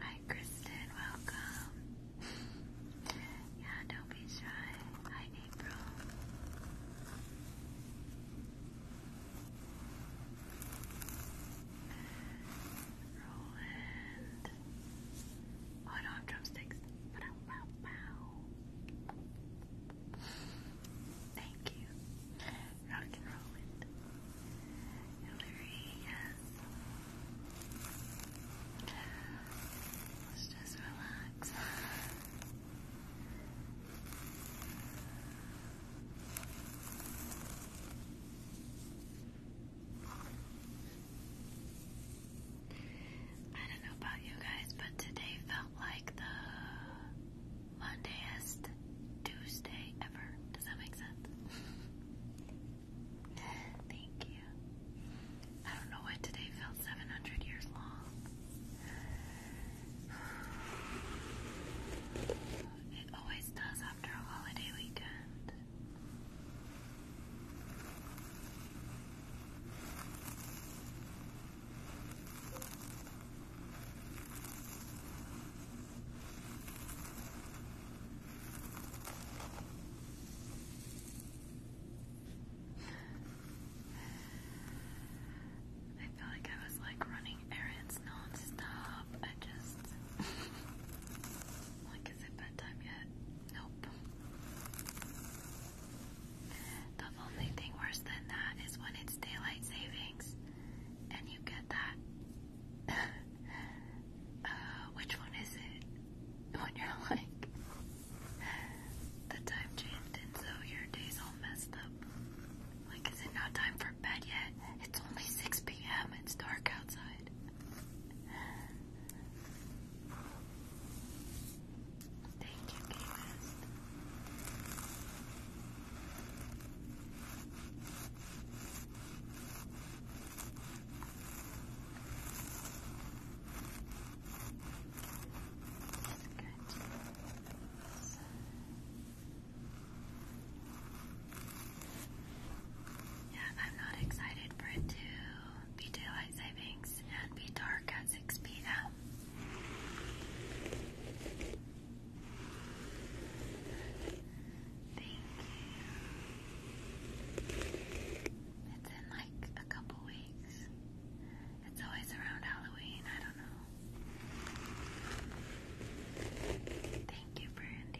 Hi, Kristen, welcome. yeah, don't be shy. Hi, April. Roland. Oh, I don't have drumsticks. Thank you. Rock and Roland. Hillary, yes. just relax. I don't know about you guys, but today felt like the Mondayest Tuesday ever. Does that make sense? Thank you. I don't know why today felt 700 years long. It always does after a holiday weekend. I feel like I was like running errands non I just like is it bedtime yet? Nope. The only thing worse than that is when it's daylight savings and you get that uh, which one is it? When you're like the time changed and so your day's all messed up. Like, is it not time for bed yet? It's only 6 p.m. It's dark outside. Thank you, Gavis. Good. Yeah, I'm not excited for it to be daylight savings and be dark at 6 p.m. Thank you. It's in like a couple weeks. It's always around Halloween. I don't know. Thank you, Brandy.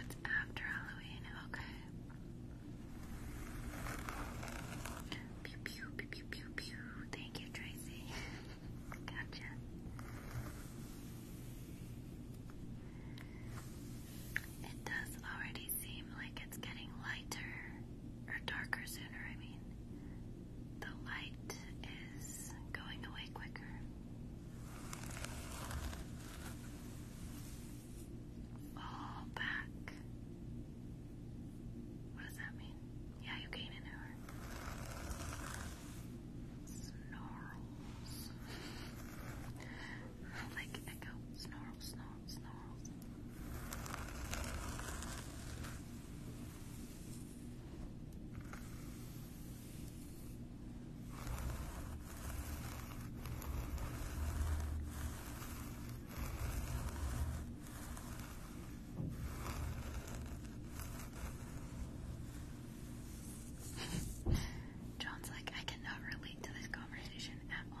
it's after Halloween, okay. Pew pew pew pew pew pew. Thank you, Tracy. gotcha. It does already seem like it's getting lighter or darker sooner, I mean. The light is going away quicker. Fall back. What does that mean? Yeah, you gain an hour. Snarls. like echo. Snarl, snarl, snarls. John's like, I cannot relate to this conversation at all.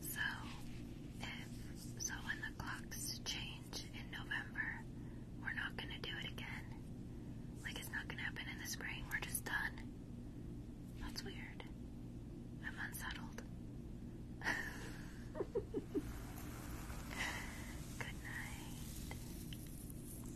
So, if so, when the clocks change in November, we're not going to do it again. Like, it's not going to happen in the spring. We're just done. That's weird. I'm unsettled. Good night.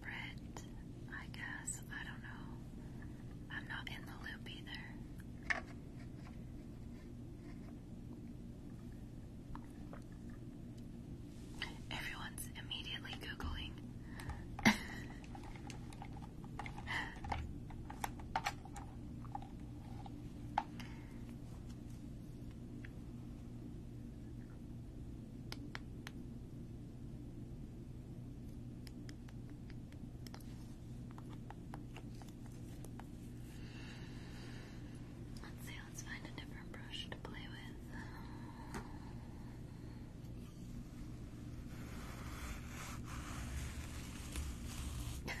Brett, I guess. I don't know. I'm not in the loop either. Everyone's immediately Googling. Let's see, let's find a different brush to play with.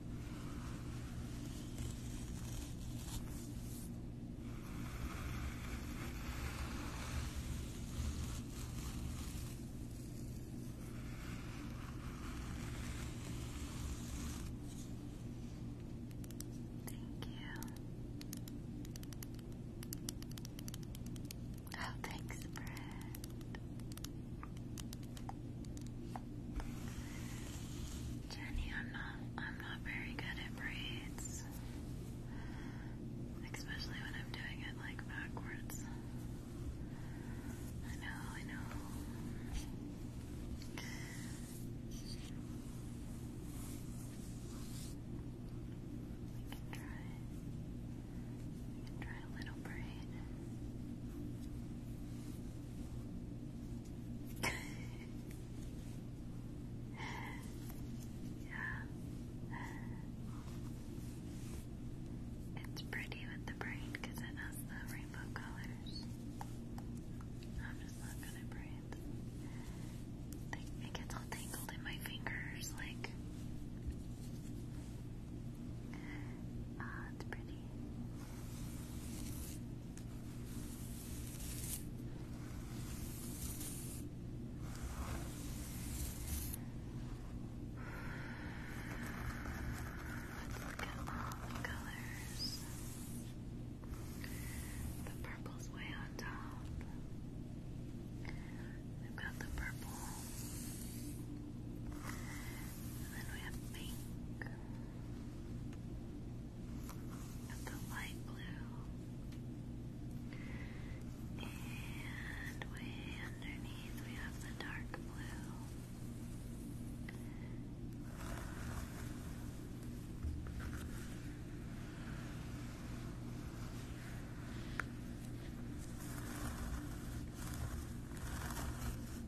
Thank you. Oh, thanks, Brad. Jenny, I'm not I'm not very good at braids. Especially when I'm doing it like backwards. I know, I know. We can try we can try a little braid yeah. It's pretty with the brain because it has the rainbow colors. I'm just not gonna breathe. it gets all tangled in my fingers, like. Ah, it's pretty. Let's look at all the colors. The purple's way on top. We've got the purple. And then we have pink of the light blue, and way underneath we have the dark blue.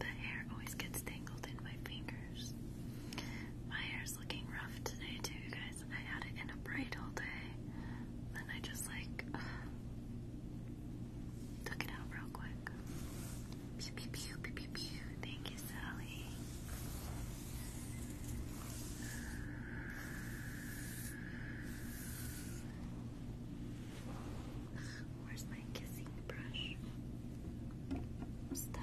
The hair always gets tangled in my fingers. My hair is looking rough today too, guys. I had it in a braid all day, then I just like took it out real quick. pew, pew, pew, pew, pew. Thank you, Sally. Where's my kissing brush? stuck.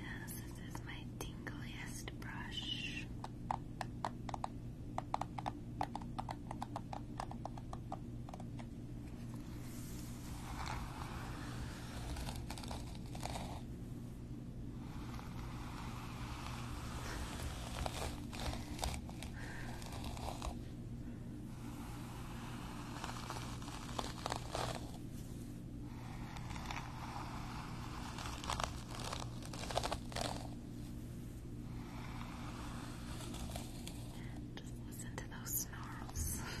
Yes, this is my tingliest brush. Just listen to those snarls.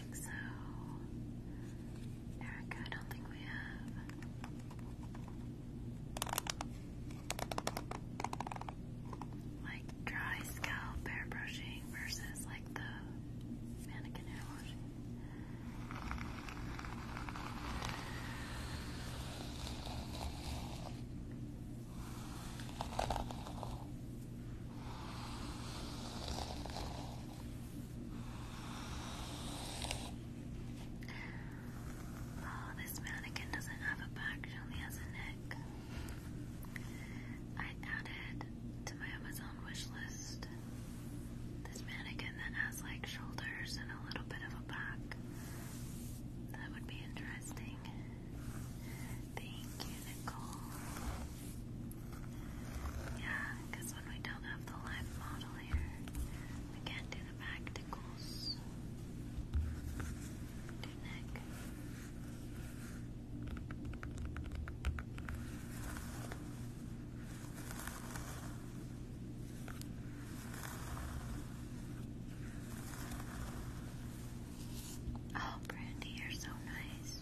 think so. Erica, I don't think we have. Like dry scalp hair brushing versus like the mannequin hair washing. Oh, this mannequin doesn't have a back, she only has a neck. I added to my Amazon wish list this mannequin that has like shoulders and a little bit of a back. That would be interesting. Thank you, Nicole. Yeah, because when we don't have the live model here, we can't do the practicals. Do neck. Oh, Brandy, you're so nice.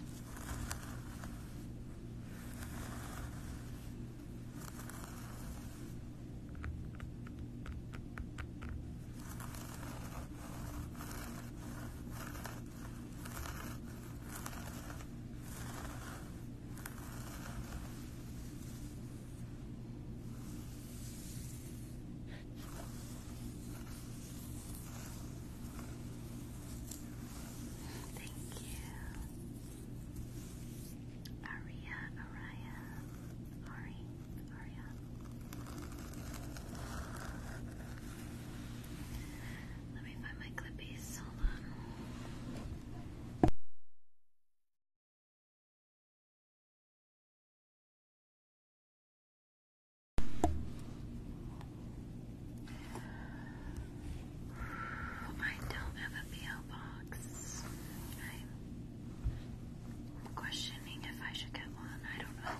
Thank you. Aria, Aria, Ari, Aria. Let me find my clippies. Hold on. I don't have a P.O. box. I'm questioning if I should get one. I don't know.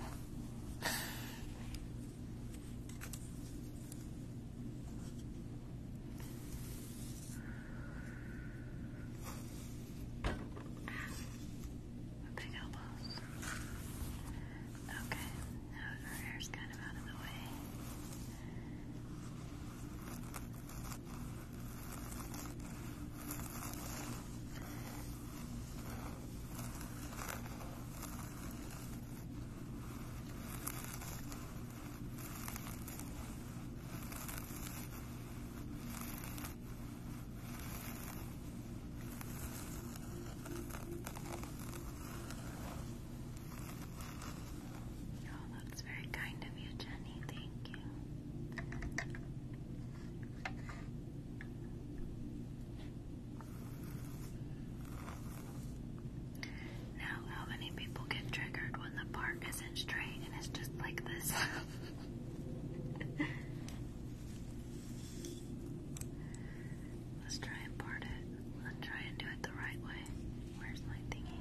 Big elbows. Okay, now her hair's kind of out of the way. Oh, that's very kind of you, Jenny. Thank you. Now, how many people get triggered when the part isn't straight and it's just like this? Let's try and part it. Let's try and do it the right way. Where's my thingy?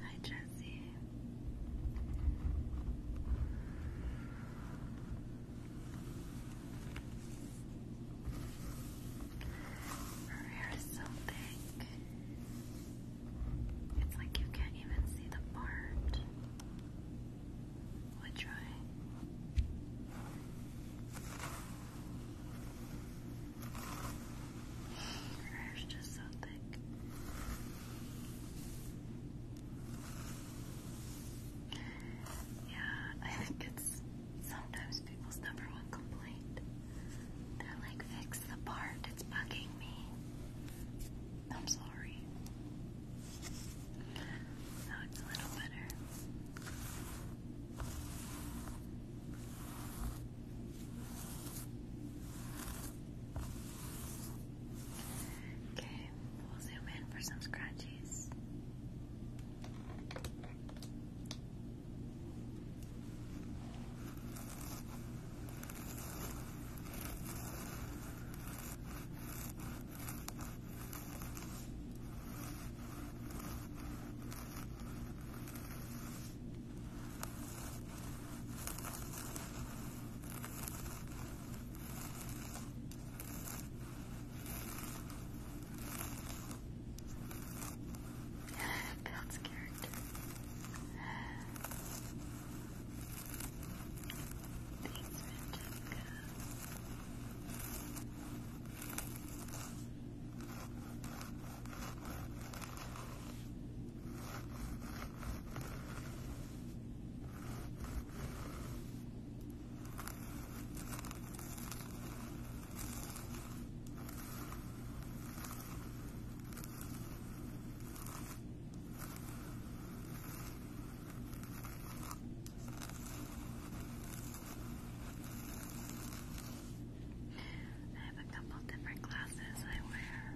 Hi, Jesse. Her hair is so thick. It's like you can't even see the part. we try. Your hair's just so thick. Yeah, I think it's sometimes people's number one complaint. They're like, fix the part, it's bugging me. I'm sorry. Now it's a little better. Okay, we'll zoom in for some scratches. Builds character. Thanks, Francesca. Thank I have a couple different glasses I wear.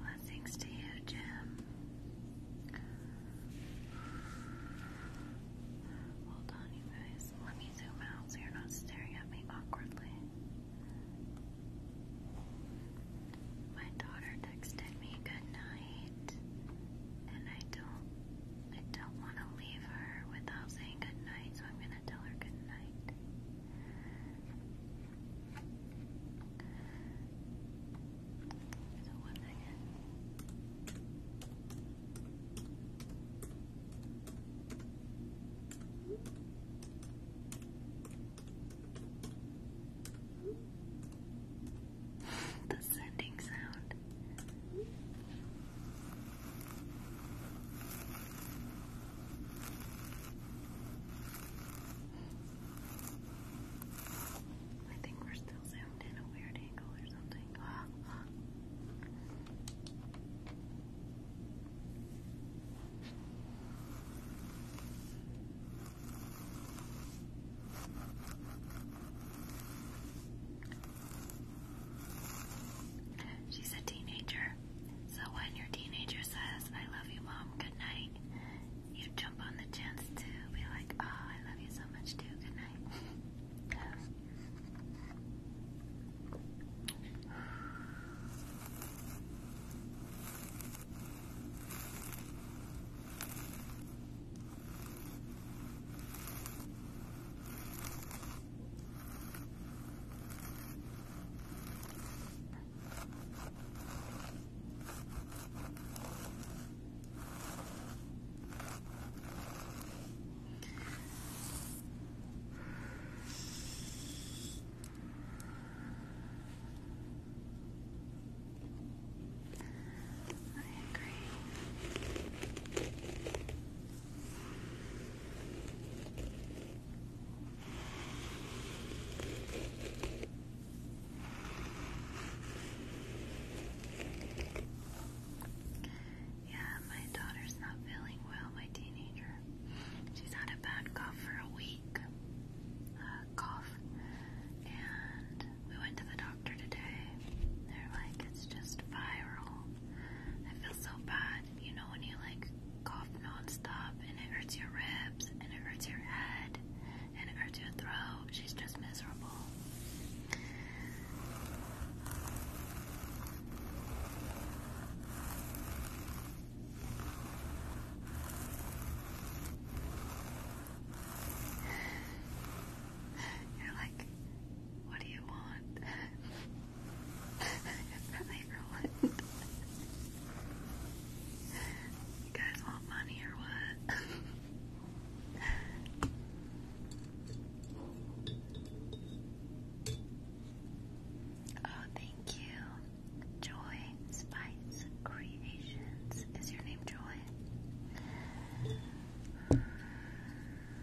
Blessings to you, Jim. Hold you guys. Let me zoom out so you're not staring at me awkwardly. My daughter texted me good night, and I don't, I don't want to leave her without saying good night, so I'm gonna gonna tell her good night. the sending sound. I think we're still zoomed in a weird angle or something. She's a teenager teenager. So when your teenager says, I love you, mom, good night, you jump on the chance to be like, oh, I love you so much too, good night. I agree. Yeah, my daughter's not feeling well, my teenager. She's had a bad cough for a week. Uh, cough. And we went to the doctor today. They're like, it's just viral. I feel so bad you know when you like cough nonstop and it hurts your ribs and it hurts your head and it hurts your throat. She's just miserable. You're like, what do you want? guys want money or what? oh, thank you. Joy Spice Creations. Is your name Joy?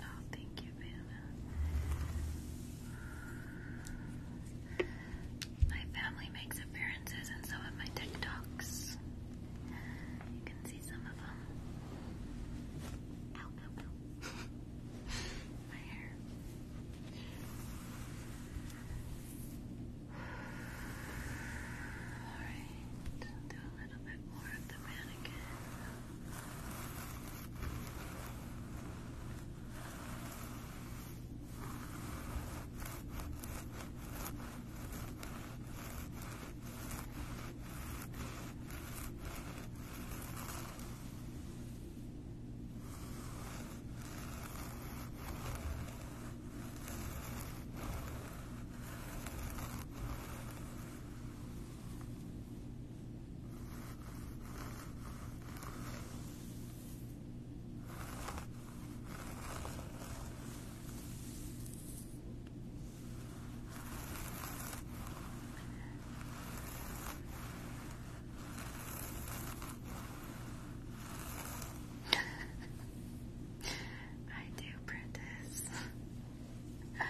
Oh, thank you, Vanna. My family makes appearances in some of my TikToks. You can see some of them. Ow, ow, ow. my hair. Alright, little bit more of the mannequin. Now I do, Prentice. Good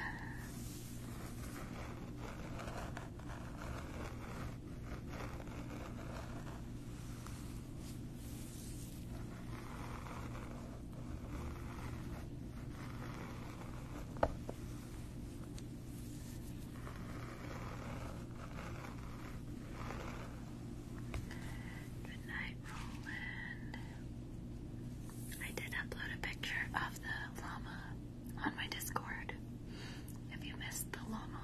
night, Roland. I did upload a picture of the llama on my Discord. If you missed the llama.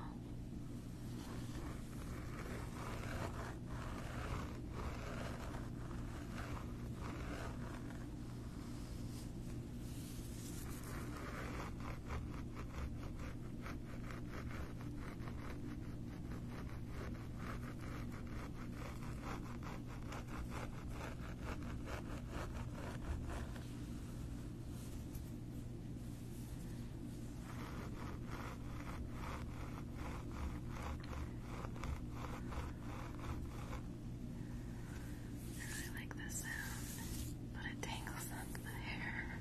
I really like this sound, but it tangles up the hair.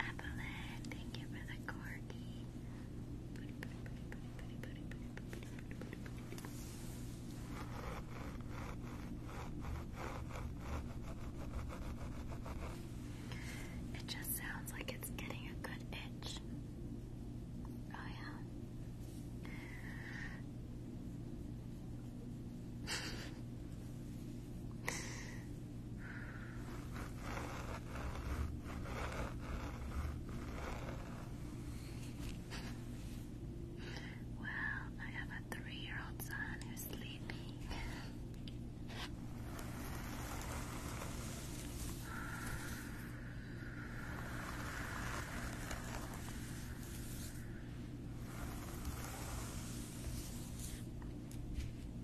Evelyn, thank you for the corgi. It just sounds like it's getting a good itch. Oh, yeah. Well, I have a three year old son who's sleeping.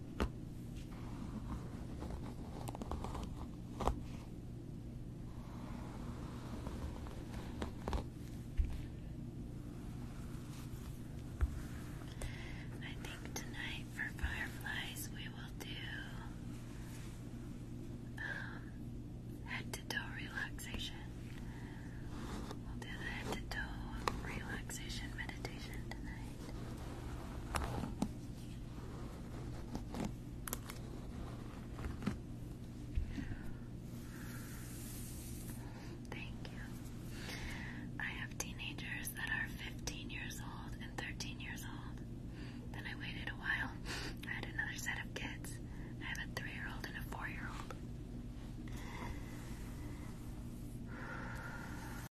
I think tonight for fireflies we will do um, head to toe relaxation. We'll do the head to toe relaxation meditation tonight. Thank you. I have teenagers that are 15 years old and 13 years old. Then I waited a while. I had another set of kids. I have a three year old and a four year old.